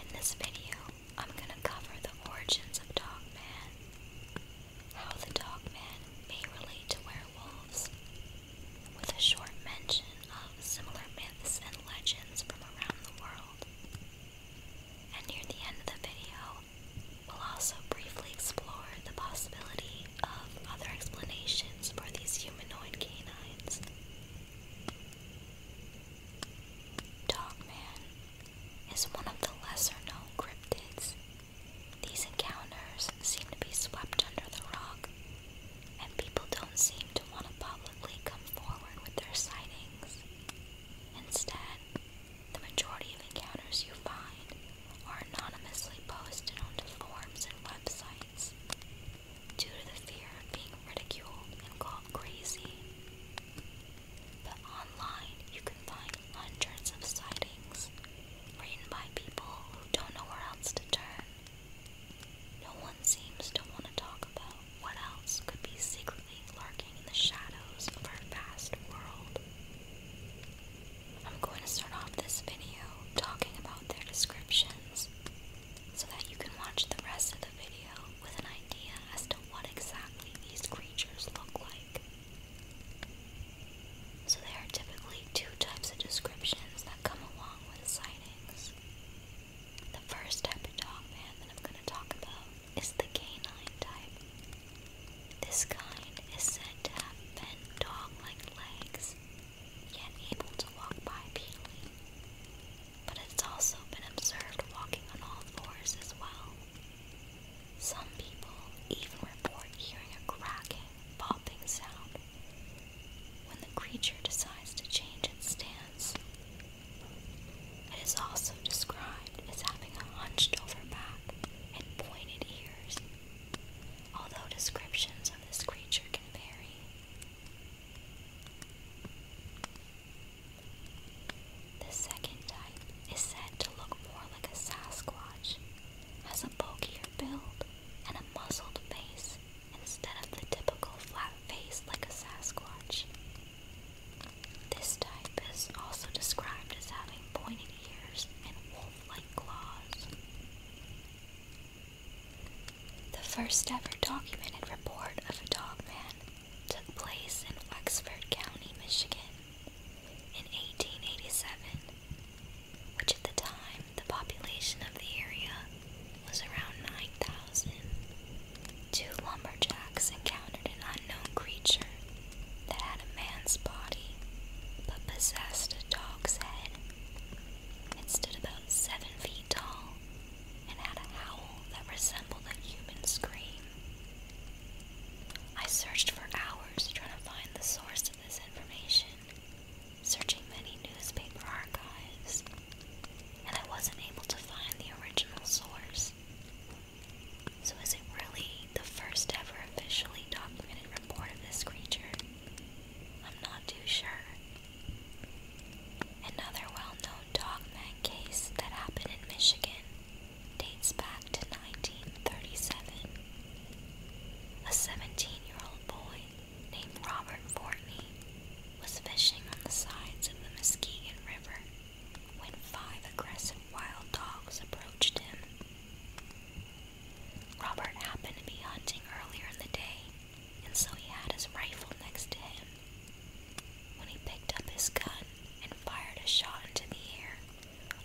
In this video, I'm going to cover the origins of Dogman, how the Dogman may relate to werewolves, with a short mention of similar myths and legends from around the world. And near the end of the video, we'll also briefly explore the possibility of um, other explanations for these humanoid canines. Dogman is one of the lesser known cryptids. These encounters seem to be swept under the rug, and people don't seem to want to publicly come forward with their sightings. Instead, the majority of encounters you find are anonymously posted onto forums and websites due to the fear of being ridiculed and called crazy. But online, you can find hundreds of sightings written by people who don't know where else to turn. No one seems to want to talk about what else could be secretly lurking in the shadows of our vast world. I'm going to start off this video talking about their descriptions so that you can watch the rest of the video with an idea as to what exactly these creatures look like. So there are typically two types of descriptions that come along with sightings. The first type of dog man that I'm going to talk about is the canine type. This kind is said to have bent dog-like legs yet able to walk by But it's also been observed walking on all fours as well. Some people even report hearing a cracking, popping sound when the creature decides to change its stance. It is also described as having a hunched over back and pointed ears, although descriptions of this creature can vary. The second type is said to look more like a Sasquatch, has a bulkier build and a muscled face instead of the typical flat face like a Sasquatch. This type is also described as having pointed ears and wolf like claws. The first ever documented report of a dog man took place in Wexford County, Michigan, in 1887, which at the time the population of the area was around 9,000. Two lumberjacks encountered an unknown creature that had a man's body but possessed a dog's head. It stood about seven feet tall and had a howl that resembled a human scream. I searched for hours trying to find the source of this information, searching many newspaper archives, and I wasn't able to find the original source. So, is it really the first ever officially documented report of this creature? I'm not too sure. Another well known dogman case that happened in Michigan dates back to 1937. A 17 year old boy named Robert Fortney was fishing on the sides of the Muskegon River when five aggressive wild dogs approached him. Robert happened to be hunting earlier in the day, and so he had his rifle next to him. When he picked up his gun and fired a shot into the air,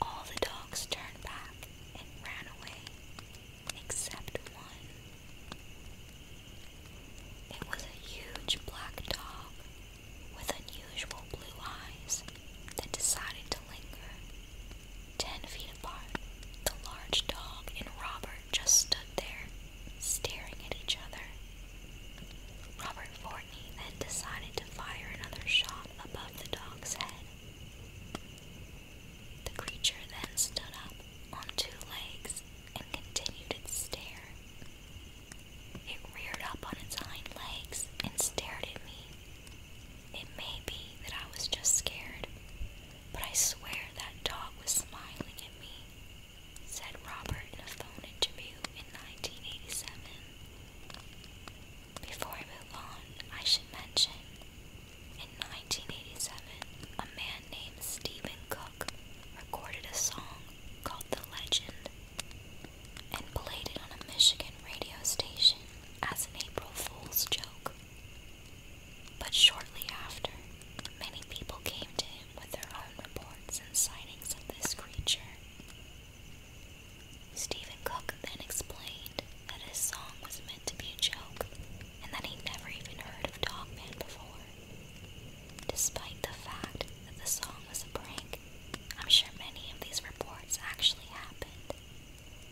all the dogs turned back and ran away, except one. It was a huge black dog with unusual blue eyes that decided to linger Ten feet apart, the large dog and Robert just stood there, staring at each other. Robert Fortney then decided to fire another shot above the dog's head. The creature then stood up on two legs and continued to stare. It reared up on its hind legs and stared at me it may be that I was just scared, but I swear that dog was smiling at me, said Robert in a phone interview in 1987. Before I move on, I should mention in 1987, a man named Stephen Cook recorded a song called The Legend and played it on a Michigan radio station as an April Fool's joke. But shortly after, many people came to him with their own reports and sightings of this creature. Stephen Cook then explained that his song was meant to be a joke and that he never even heard of Dogman before. Despite the fact that the song was a prank, I'm sure many of these reports actually happened,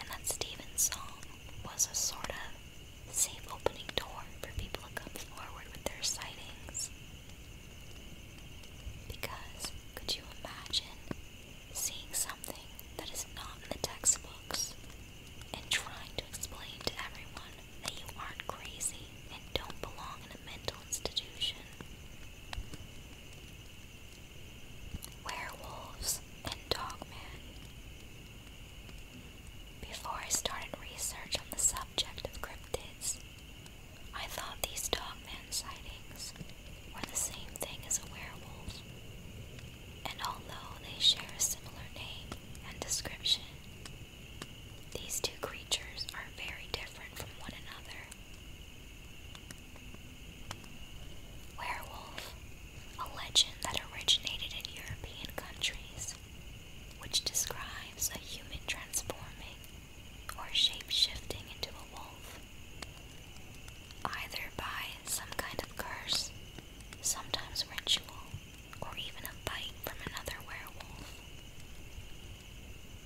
and that Stephen's song was a sort of safe opening door for people to come forward with their sightings. Because could you imagine seeing something that is not in the textbooks and trying to explain to everyone that you aren't crazy and don't belong in a mental institution? Werewolves and Dogman. Before I started research on the subject of cryptids, I thought these Dogman sightings were the same thing as a werewolf, and although they share a similar name and description, these two creatures are very different from one another. Werewolf, a legend that originated in European countries, which describes a human transforming or shape shifting into a wolf, either by some kind of curse, sometimes ritual, or even a bite from another werewolf.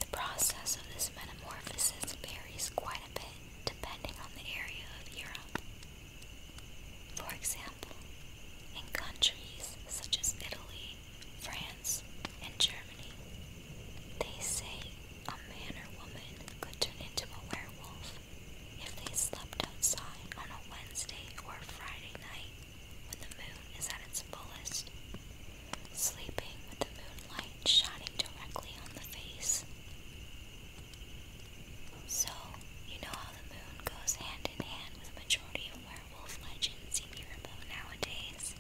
The process of this metamorphosis varies quite a bit depending on the area of Europe. For example, in countries such as Italy, France, and Germany, they say a man or woman could turn into a werewolf if they slept outside on a Wednesday or Friday night when the moon is at its fullest, sleeping with the moonlight shining directly on the face. So, you know how the moon goes hand in hand with the majority of werewolf legends in Europe nowadays?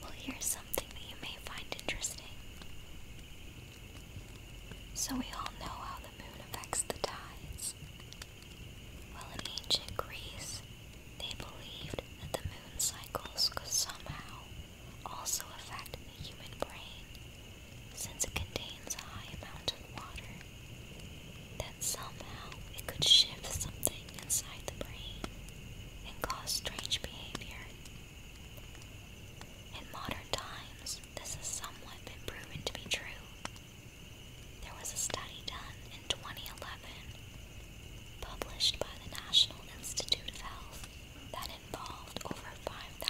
Well, here's something that you may find interesting. So, we all know how the moon affects the tides. Well, in ancient Greece, they believed that the moon cycles somehow also affect the human brain since it contains a high amount of water, that somehow it could shift something inside the brain and cause strange behavior. In modern times, this has somewhat been proven to be true. There was a study done in 2011, published by the National Institute of Health, that it involved over 5,400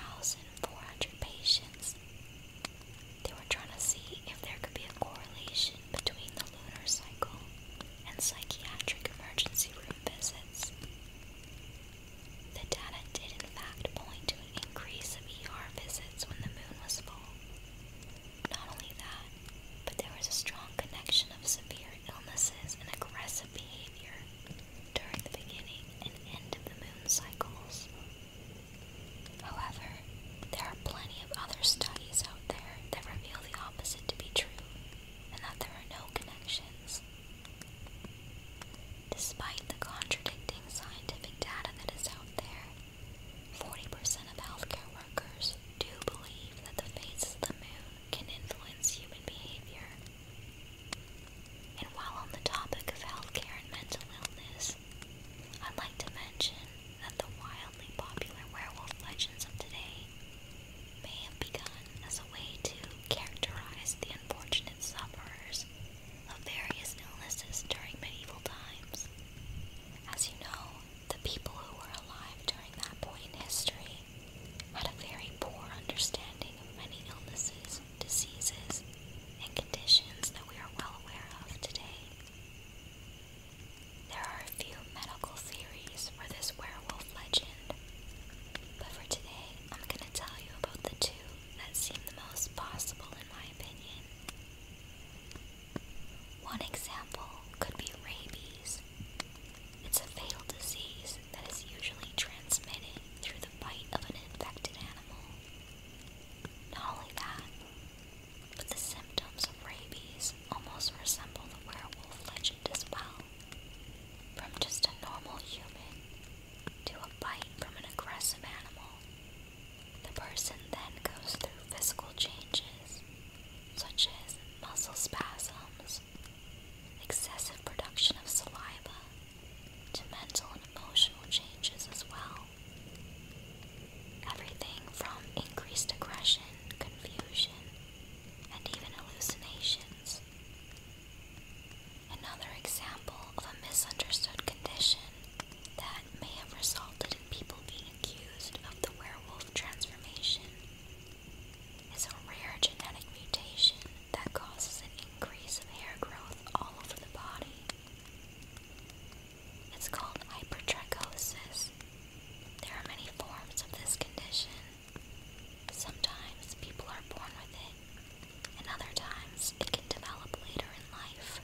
patients. They were trying to see if there could be a correlation between the lunar cycle and psychiatric emergency room visits. The data did, in fact, point to an increase of ER visits when the moon was full. Not only that, but there was a strong connection of severe illnesses and aggressive behavior during the beginning and end of the moon cycles. However, there are plenty of other studies out there that reveal the opposite to be true and that there are no connections. Despite the contradicting scientific data that is out there, 40% of healthcare workers do believe that the phases of the moon can influence human behavior and while on the topic of healthcare and mental illness, I'd like to mention that the wildly popular werewolf legends of today may have begun as a way to characterize the unfortunate sufferers of various illnesses during medieval times. As you know, the people who were alive during that point in history had a very poor understanding of many illnesses, diseases, and conditions that we are well aware of today. There are a few medical theories for this werewolf legend, but for today I'm going to tell you about the two that seem the most possible in my opinion. One example could be rabies. It's a fatal disease that is usually transmitted through the bite of an infected animal. Not only that, but the symptoms of rabies almost resemble the werewolf legend as well. From just a normal human to a bite from an aggressive animal, the person then goes through physical changes such as muscle spasms, excessive production of saliva, to mental and emotional changes as well. Everything from increased aggression, confusion, and even hallucinations. Another example of a misunderstood condition that may have resulted in people being accused of the werewolf transformation it's a rare genetic mutation that causes an increase of hair growth all over the body. It's called hypertrichosis. There are many forms of this condition. Sometimes people are born with it, and other times it can develop later in life.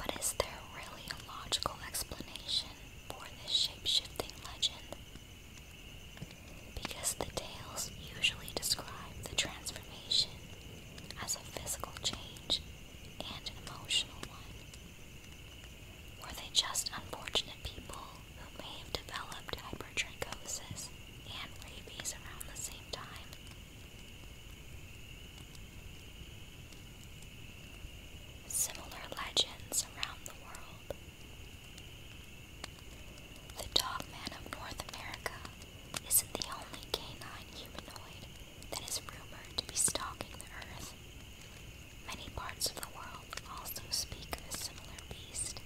But is there really a logical explanation for this shapeshifting legend? Because the tales usually describe the transformation as a physical change and an emotional one. Were they just unfortunate people who may have developed hypertrichosis and rabies around the same time? Similar legends around the world the Man of North America isn't the only canine humanoid that is rumored to be stalking the earth. Many parts of the world also speak of a similar beast.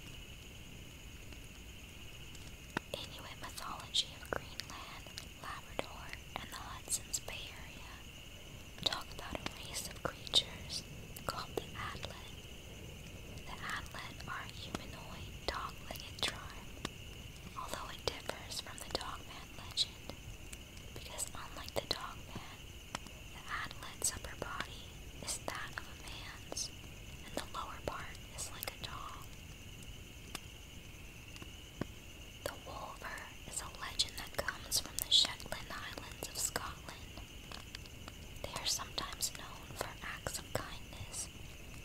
Inuit mythology of Greenland, Labrador, and the Hudson's Bay Area talk about a race of creatures called the Atlet. The Atlet are a humanoid dog-legged tribe, although it differs from the Dogman legend, because unlike the Dogman, the Atlet's upper body is that of a man's, and the lower part is like a dog. The wolver is a legend that comes from the Shetland Islands of Scotland. They are sometimes known for acts of kindness,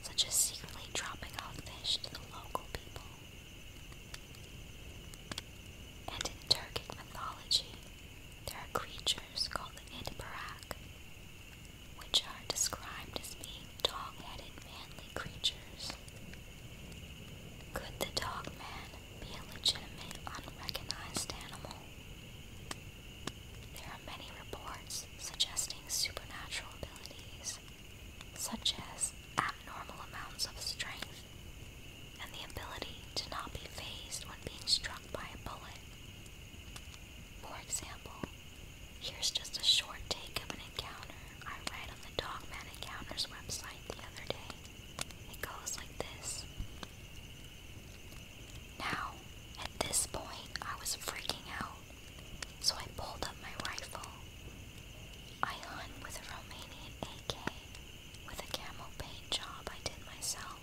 such as secretly dropping off fish to the local people. And in Turkic mythology, there are creatures called the Idbarak, which are described as being dog-headed manly creatures. Could the dog man be a legitimate, unrecognized animal. There are many reports suggesting supernatural abilities, such as abnormal amounts of strength and the ability to not be phased when being struck by a bullet. For example, here's just a short take of an encounter I read on the Dog Man Encounters website the other day. It goes like this now, at this point, I was freaking out, so I pulled up my rifle. I hunt with a Romanian AK with a camel paint job I did myself.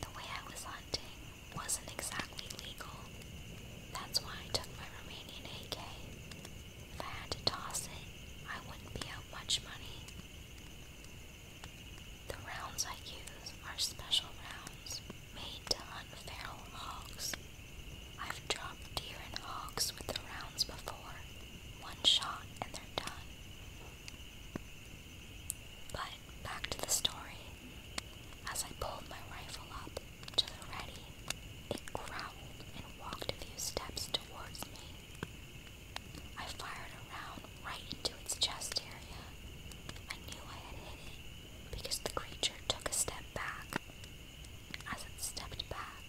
The way I was hunting wasn't exactly legal. That's why I took my Romanian AK. If I had to toss it, I wouldn't be out much money. The rounds I use are special rounds made to hunt feral hogs. I've dropped deer and hogs with the rounds before. One shot and they're done. But back to the story. As I pulled my rifle up to the ready, it growled and walked a few steps towards me. I fired a round right into its chest area. I knew I had hit it because the creature took a step back. As it stepped back,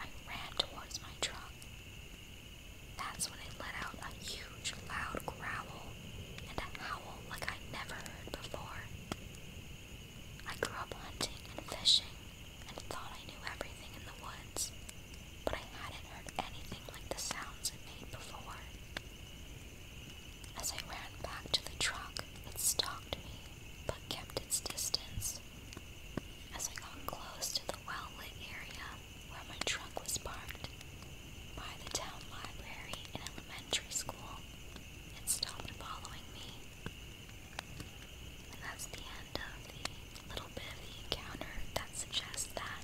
I ran towards my truck. That's when it let out a huge, loud growl and a howl like I'd never heard before. I grew up hunting and fishing and thought I knew everything in the woods, but I hadn't heard anything like the sounds it made before. As I ran back to the truck, it stalked me, but kept its distance. As I got close to the well-lit area where my truck was parked, by the town library and elementary school, it stopped following me and that's the end of the little bit of the encounter that suggests that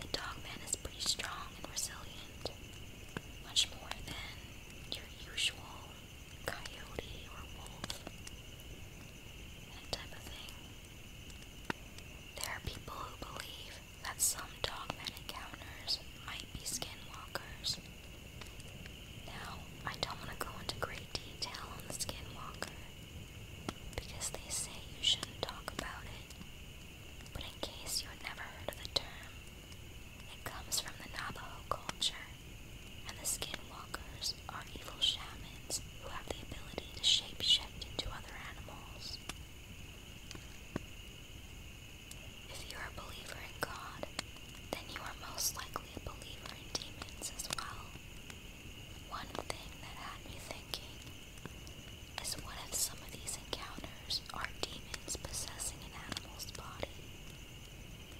the dogman is pretty strong and resilient, much more than your usual coyote or wolf, type of thing. There are people who believe that some dogman encounters might be skinwalkers. Now, I don't want to go into great detail on the skinwalker because they say you shouldn't talk about it. But in case you have never heard of the term, it comes from the Navajo culture, and the skinwalkers are evil shamans who have the ability to shape shift into other animals. If you are a believer in God, then you are most likely a believer in demons as well. One thing that had me thinking is what if some of these encounters are demons possessing an animal's body?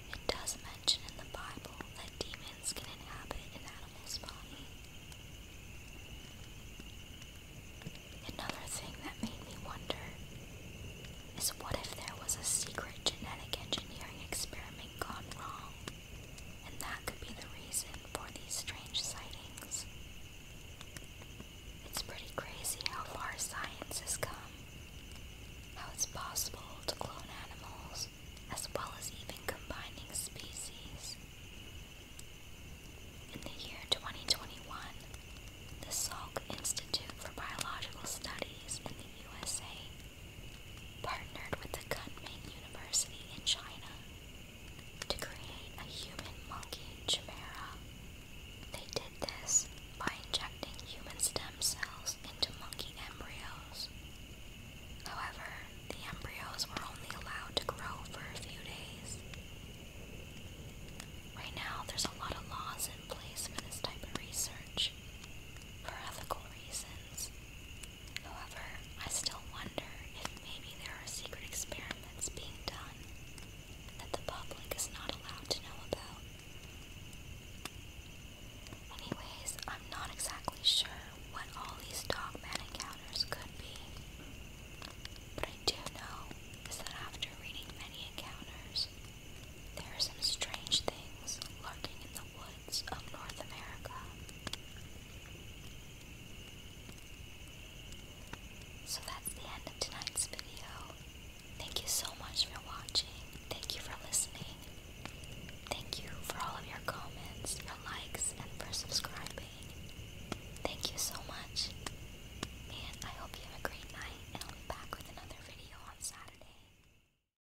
It does mention in the Bible that demons can inhabit an animal's body. Another thing that made me wonder is what if there was a secret genetic engineering experiment gone wrong? and that could be the reason for these strange sightings. It's pretty crazy how far science has come, how it's possible to clone animals as well as even combining species. In the year 2021, the Salk Institute for Biological Studies in the USA partnered with the Kunming University in China to create a human monkey chimera. They did this by injecting human stem cells into monkey embryos. However, the embryos were only allowed to grow for a few days. Right now, there's a lot of laws in place for this type of research for ethical reasons, However, I still wonder if maybe there are secret experiments being done that the public is not allowed to know about. Anyways, I'm not exactly sure what all these dog man encounters could be. but I do know is that after reading many encounters, there are some strange things lurking in the woods. So that's the end of tonight's video. Thank you so much for watching. Thank you for listening. Thank you for all of your comments, your likes, and for subscribing. Thank you so much. And I hope you have a great night, and I'll be back with another video on Saturday.